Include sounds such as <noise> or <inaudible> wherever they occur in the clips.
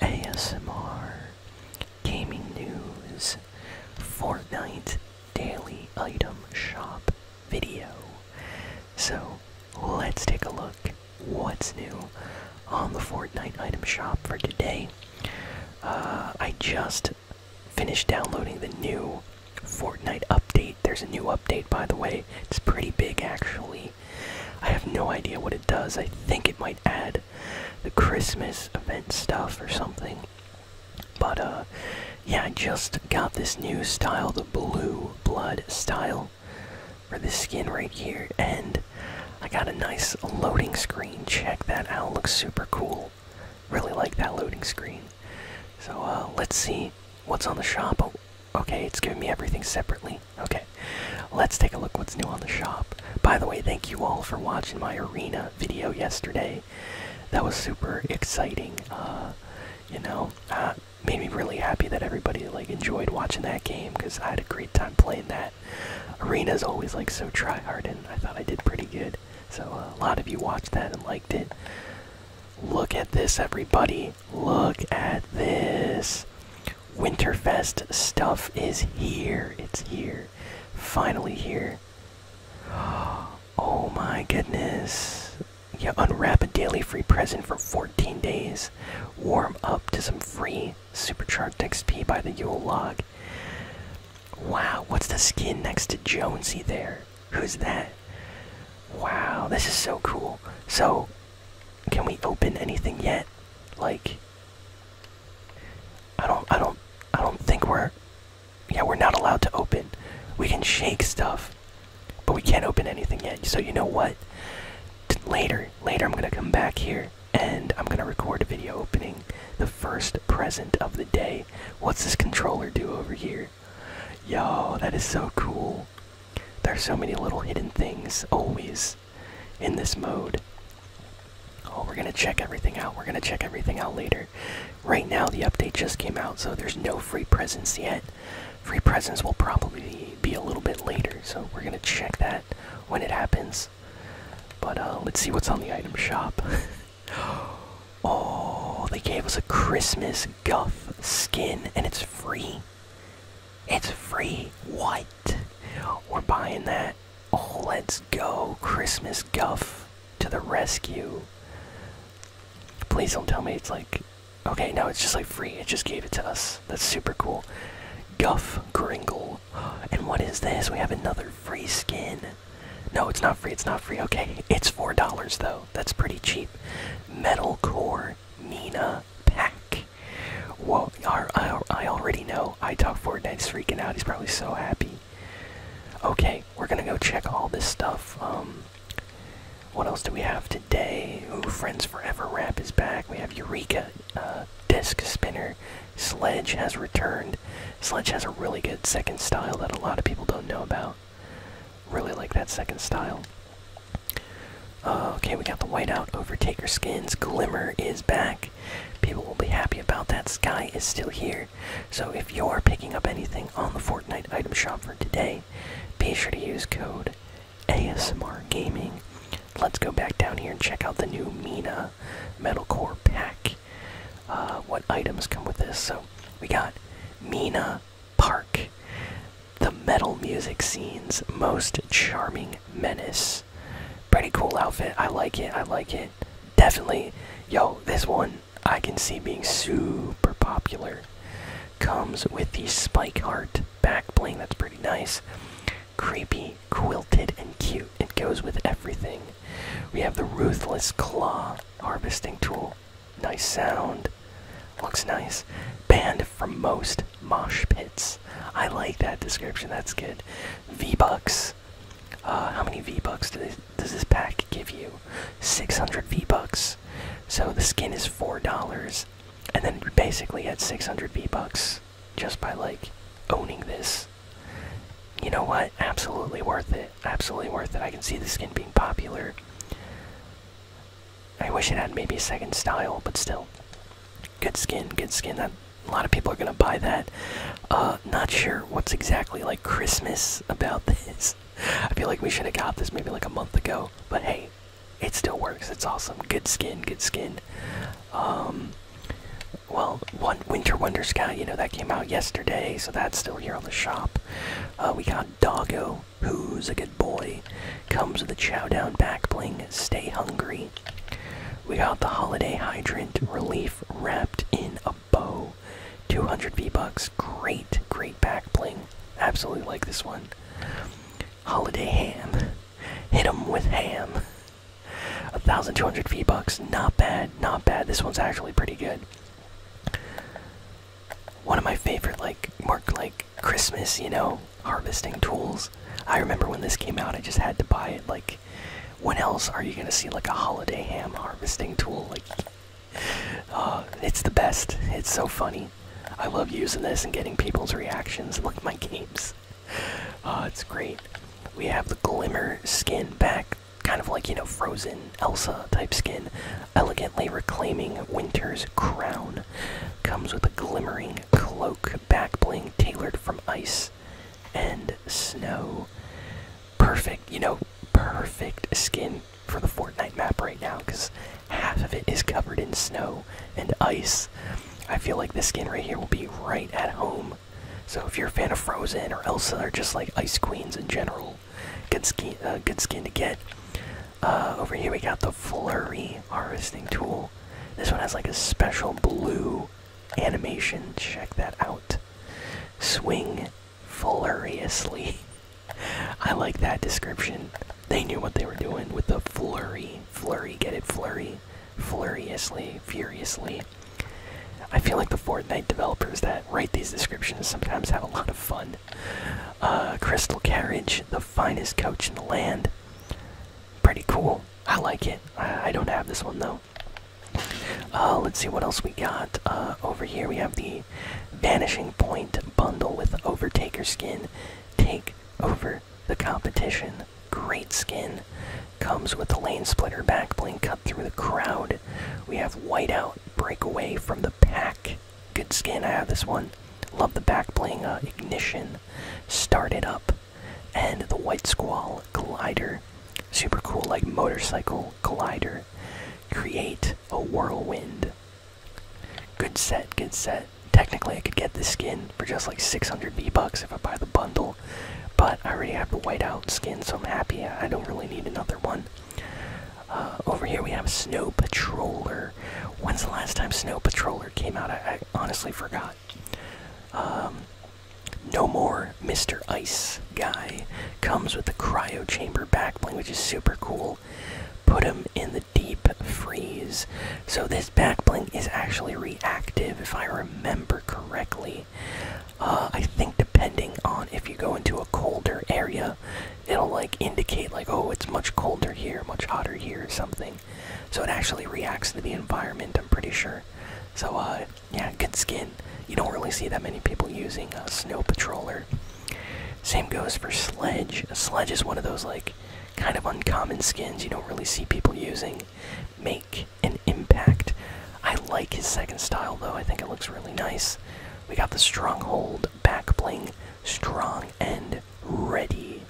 ASMR, gaming news, Fortnite daily item shop video. So let's take a look what's new on the Fortnite item shop for today. Uh, I just finished downloading the new Fortnite update. There's a new update, by the way. It's pretty big, actually. I have no idea what it does. I think it might add the Christmas event stuff or something. But uh, yeah, I just got this new style, the blue blood style, for this skin right here, and I got a nice loading screen. Check that out, looks super cool. Really like that loading screen. So uh, let's see what's on the shop. Oh, okay, it's giving me everything separately. Okay, let's take a look what's new on the shop. By the way, thank you all for watching my arena video yesterday. That was super exciting. Uh, you know, uh, made me really happy that everybody like enjoyed watching that game because I had a great time playing that. Arena's always like so try hard, and I thought I did pretty good. So uh, a lot of you watched that and liked it. Look at this, everybody! Look at this! Winterfest stuff is here. It's here. Finally here. <gasps> Oh my goodness. Yeah, unwrap a daily free present for 14 days. Warm up to some free supercharged XP by the Yule log. Wow, what's the skin next to Jonesy there? Who's that? Wow, this is so cool. So, can we open anything yet? Like, I don't I don't I don't think we're yeah, we're not allowed to open. We can shake stuff, but we can't open anything yet. So you know what? later, later I'm gonna come back here and I'm gonna record a video opening the first present of the day. What's this controller do over here? Yo, that is so cool. There's so many little hidden things always in this mode. Oh, we're gonna check everything out. We're gonna check everything out later. Right now, the update just came out, so there's no free presents yet. Free presents will probably be a little bit later, so we're gonna check that when it happens. But uh, let's see what's on the item shop. <gasps> oh, they gave us a Christmas Guff skin, and it's free. It's free. What? We're buying that. Oh, let's go. Christmas guff to the rescue. Please don't tell me it's like. Okay, no, it's just like free. It just gave it to us. That's super cool. Guff Gringle. And what is this? We have another free skin. No, it's not free. It's not free. Okay, it's $4 though. That's pretty cheap. Metal Core Nina the pack. Whoa, I, already know. I talk Fortnite's freaking out. He's probably so happy. Okay, we're gonna go check all this stuff. Um, what else do we have today? Ooh, Friends Forever Rap is back. We have Eureka uh, Disc Spinner. Sledge has returned. Sledge has a really good second style that a lot of people don't know about. Really like that second style. Uh, okay, we got the whiteout overtaker skins. Glimmer is back. People will be happy about that. Sky is still here. So if you're picking up anything on the Fortnite item shop for today, be sure to use code ASMR Gaming. Let's go back down here and check out the new Mina Metalcore pack. Uh, what items come with this? So we got Mina Park the metal music scene's most charming menace. Pretty cool outfit. I like it. I like it. Definitely. Yo, this one I can see being super popular. Comes with the spike heart back That's pretty nice. Creepy, quilted, and cute. It goes with everything. We have the Ruthless Claw harvesting tool. Nice sound. Looks nice. Band for most mosh pits. I like that description. That's good. V bucks. Uh, how many V bucks does this pack give you? 600 V bucks. So the skin is four dollars, and then basically at 600 V bucks just by like owning this. You know what? Absolutely worth it. Absolutely worth it. I can see the skin being popular. I wish it had maybe a second style, but still. Good skin, good skin. That, a lot of people are gonna buy that. Uh, not sure what's exactly like Christmas about this. I feel like we should have got this maybe like a month ago, but hey, it still works. It's awesome. Good skin, good skin. Um, well, one Winter Wonder Sky, you know that came out yesterday, so that's still here on the shop. Uh, we got Doggo, who's a good boy. Day comes the down back bling Stay Hungry. We got the Holiday Hydrant Relief wrapped in a bow. 200 V-Bucks. Great, great back bling. Absolutely like this one. Holiday Ham. Hit 'em with ham. 1,200 V-Bucks. Not bad, not bad. This one's actually pretty good. One of my favorite, like, Mark, like, Christmas, you know, harvesting tools. I remember when this came out, I just had to buy it. Like, when else are you gonna see like a holiday ham harvesting tool? Like, uh, it's the best. It's so funny. I love using this and getting people's reactions. Look at my games. Uh, it's great. We have the glimmer skin back, kind of like you know frozen Elsa type skin, elegantly reclaiming winter's crown. Comes with a glimmering cloak, back bling tailored from ice and snow. Perfect, you know, perfect skin for the Fortnite map right now because half of it is covered in snow and ice. I feel like this skin right here will be right at home. So if you're a fan of Frozen or Elsa or just like Ice Queens in general, good skin, uh, good skin to get. Uh, over here we got the Flurry harvesting tool. This one has like a special blue animation. Check that out. Swing fluriously. <laughs> I like that description. They knew what they were doing with the flurry. Flurry, get it? Flurry. Fluriously, furiously. I feel like the Fortnite developers that write these descriptions sometimes have a lot of fun. Uh, Crystal Carriage, the finest coach in the land. Pretty cool. I like it. I, don't have this one though. Uh, let's see what else we got. Uh, over here we have the Vanishing Point bundle with Overtaker skin. Take over the competition. Great skin. Comes with the lane splitter back cut through the crowd. We have Whiteout breakaway from the pack. Good skin. I have this one. Love the back bling. Uh, ignition. Start it up. And the White Squall Glider. Super cool, like motorcycle glider. Create a whirlwind. Good set, good set. Technically, I could get this skin for just like 600 V bucks if I buy the bundle, but I already have the whiteout skin, so I'm happy. I don't really need another one. Uh, over here we have Snow Patroller. When's the last time Snow Patroller came out? I, honestly forgot. Um, no more Mr. Ice guy comes with the cryo chamber backbling, which is super cool. Put him in the deep freeze. So this backbling is actually reactive, if I remember correctly. Uh, I think depending on if you go into a colder area, it'll like indicate like oh it's much colder here much hotter here or something so it actually reacts to the environment i'm pretty sure so uh, yeah good skin you don't really see that many people using a snow patroller same goes for sledge sledge is one of those like kind of uncommon skins you don't really see people using make an impact i like his second style though i think it looks really nice we got the stronghold back bling strong and ready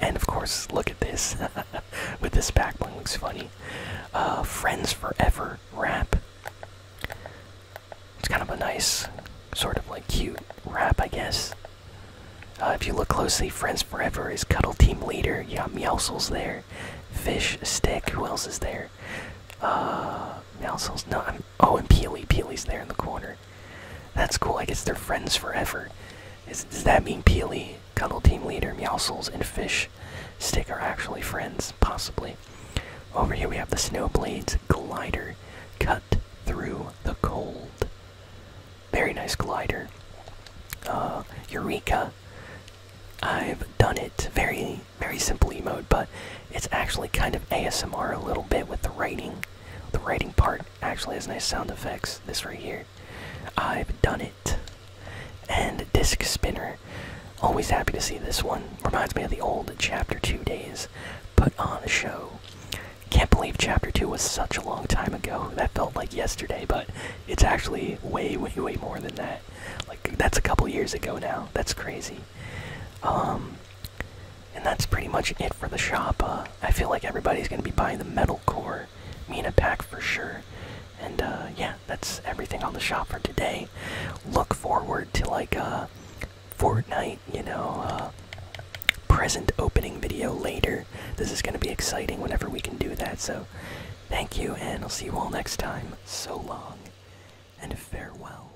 and of course, look at this. <laughs> With this back looks funny. Uh, Friends Forever rap. It's kind of a nice, sort of like cute rap, I guess. Uh, if you look closely, Friends Forever is Cuddle Team Leader. You got Meowsles there. Fish, Stick, who else is there? Uh, Meowsles, no, oh, and Peely. Peely's there in the corner. That's cool. I guess they're friends forever. does that mean Peely, Cuddle Team Leader, Meowsles, and Fish Stick are actually friends? Possibly. Over here we have the Snowblade's Glider. Cut through the cold. Very nice glider. Uh, Eureka. I've done it. Very, very simple emote, but it's actually kind of ASMR a little bit with the writing. The writing part actually has nice sound effects. This right here. I've done it. And Disc Spinner. Always happy to see this one. Reminds me of the old Chapter 2 days. Put on a show. Can't believe Chapter 2 was such a long time ago. That felt like yesterday, but it's actually way, way, way more than that. Like, that's a couple years ago now. That's crazy. Um, and that's pretty much it for the shop. Uh, I feel like everybody's going to be buying the metal core me a pack for sure. And uh, yeah, that's everything on the shop for today. Look forward to like a uh, Fortnite, you know, present opening video later. This is going to be exciting whenever we can do that. So thank you, and I'll see you all next time. So long, and farewell.